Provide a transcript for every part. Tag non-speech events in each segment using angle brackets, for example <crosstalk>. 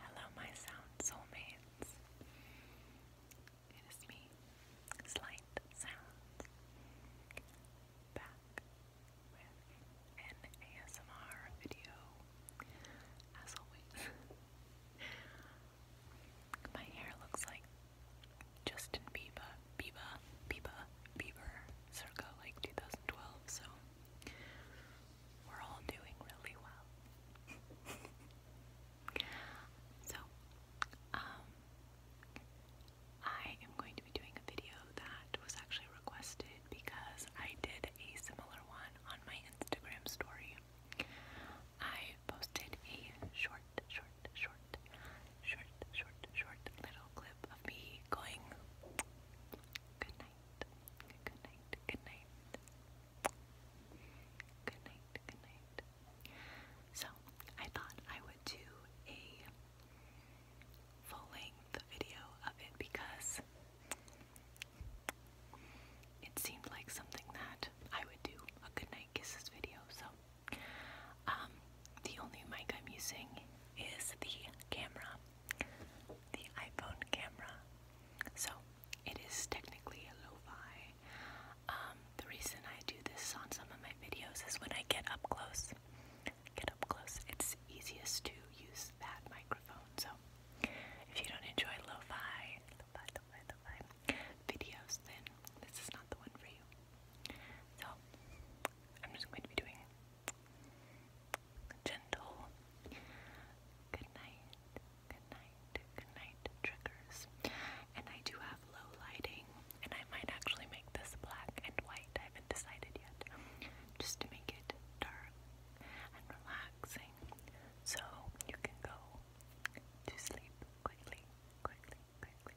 Hello, my sound soulmates. It is me, Slight Sounds, back with an ASMR video. As always, <laughs> my hair looks like Justin Bieber Biba, Biba, Bieber, circa like 2012, so we're all doing really well. <laughs> so, um, I am going to be doing a video that was actually requested because I did a similar one on my Instagram story. I posted a short, short, short, short, short, short little clip clip of me going good night, good night, good night, good night, good night. So I thought I would do a full length video of it because it seemed like something that I would do a good goodnight kisses video. So um, the only mic I'm using is the camera, the iPhone camera. So it is technically a lo-fi. Um, the reason I do this on some of my videos is when I get up close. Get up close. It's easiest to use that microphone. So if you don't enjoy lo-fi, lo-fi videos, then this is not the one for you. So I'm just going to be doing gentle. Good night, good night, good night triggers. And I do have low lighting, and I might actually make this black and white. I haven't decided yet, just to make it dark and relaxing, so you can go to sleep quickly, quickly, quickly.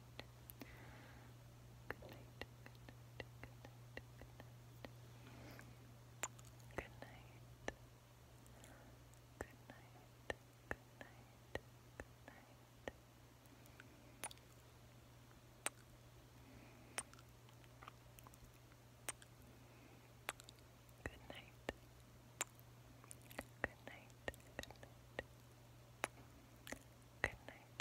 night. Good Good night. Good night. Good night. Good night. Good night. Good night. Good night. Good night.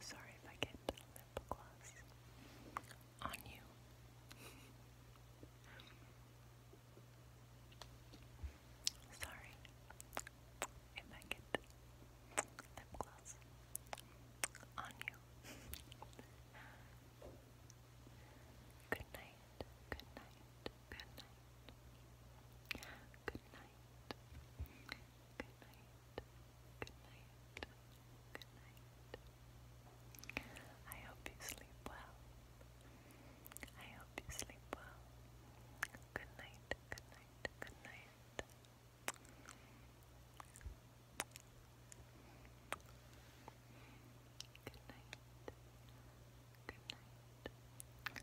Sorry if I get lip gloss on you. Sorry if I get lip gloss on you. good night, good night, good night, good night. Good night. Good night. Good night. I hope you sleep well. I hope you sleep well. Good night. Good night. Good night. Good night. Good night.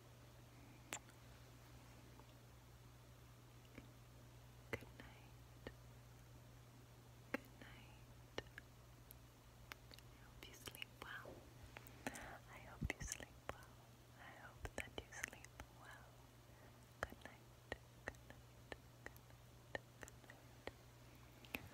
Good night. Good night. I hope you sleep well. I hope you sleep well. I hope that you sleep well. Good night. Good night. Good night. Good night.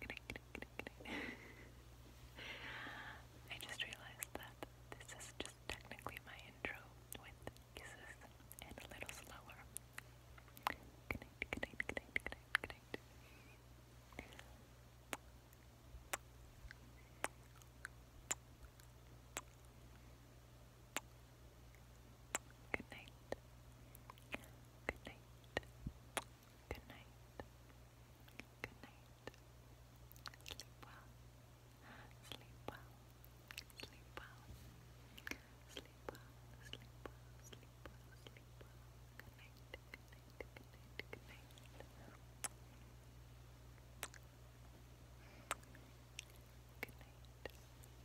Good night. I just realized that this is just technically my intro with kisses and a little slower. Good night. Good night. Good night. Good night. Sleep well. Sleep well. Sleep well. Sleep well. Sleep well. Sleep well. Sleep well. Good night. Good night. Good night. Good night. Good night.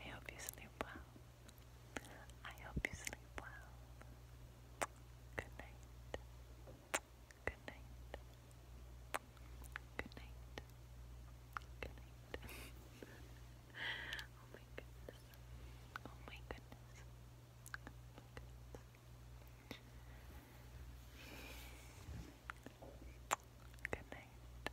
I hope you sleep well. I hope you sleep well. Good night. Good night. Good night. Good night. oh my goodness. Oh my goodness. Oh my goodness. Good night.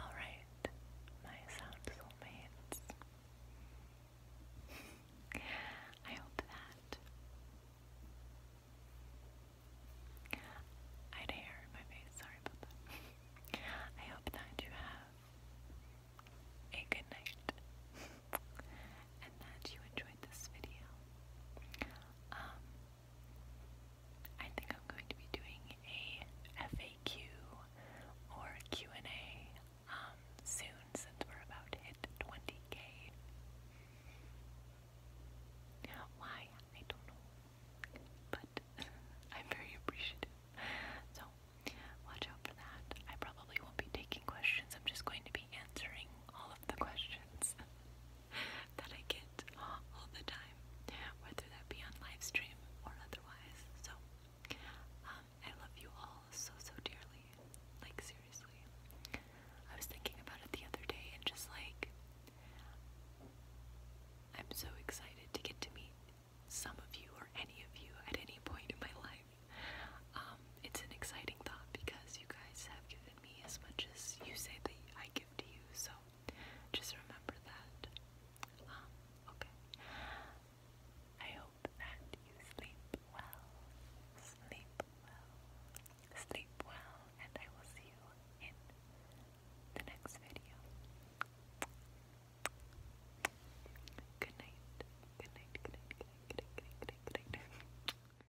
Alright, my sound soulmates. <laughs> I hope that I had hair in my face, sorry about that. <laughs> I hope that you have a good night <laughs> and that you enjoyed this video. Um, I think I'm going to be doing a FAQ or Q&A um, soon since we're about to hit 20k. Why? I don't know. But <laughs> I'm very appreciative. So, watch out for that. I probably won't be taking questions. I'm just going to be answering all of the questions. <laughs> <laughs> that I get all the time, whether that be on live stream or otherwise. So, um, I love you all so, so dearly. Like, seriously. I was thinking about it the other day and just like, I'm so excited to get to meet some of you or any of you at any point in my life. Um, it's an exciting thought because you guys have given me as much as you say that I give to you. So just remember that. Um, okay. I hope that you sleep well. Sleep well. Sleep well, and I will see you in the next video. Good night. Good night. Good night. Good night. Good night. Good night. Good night. Good night.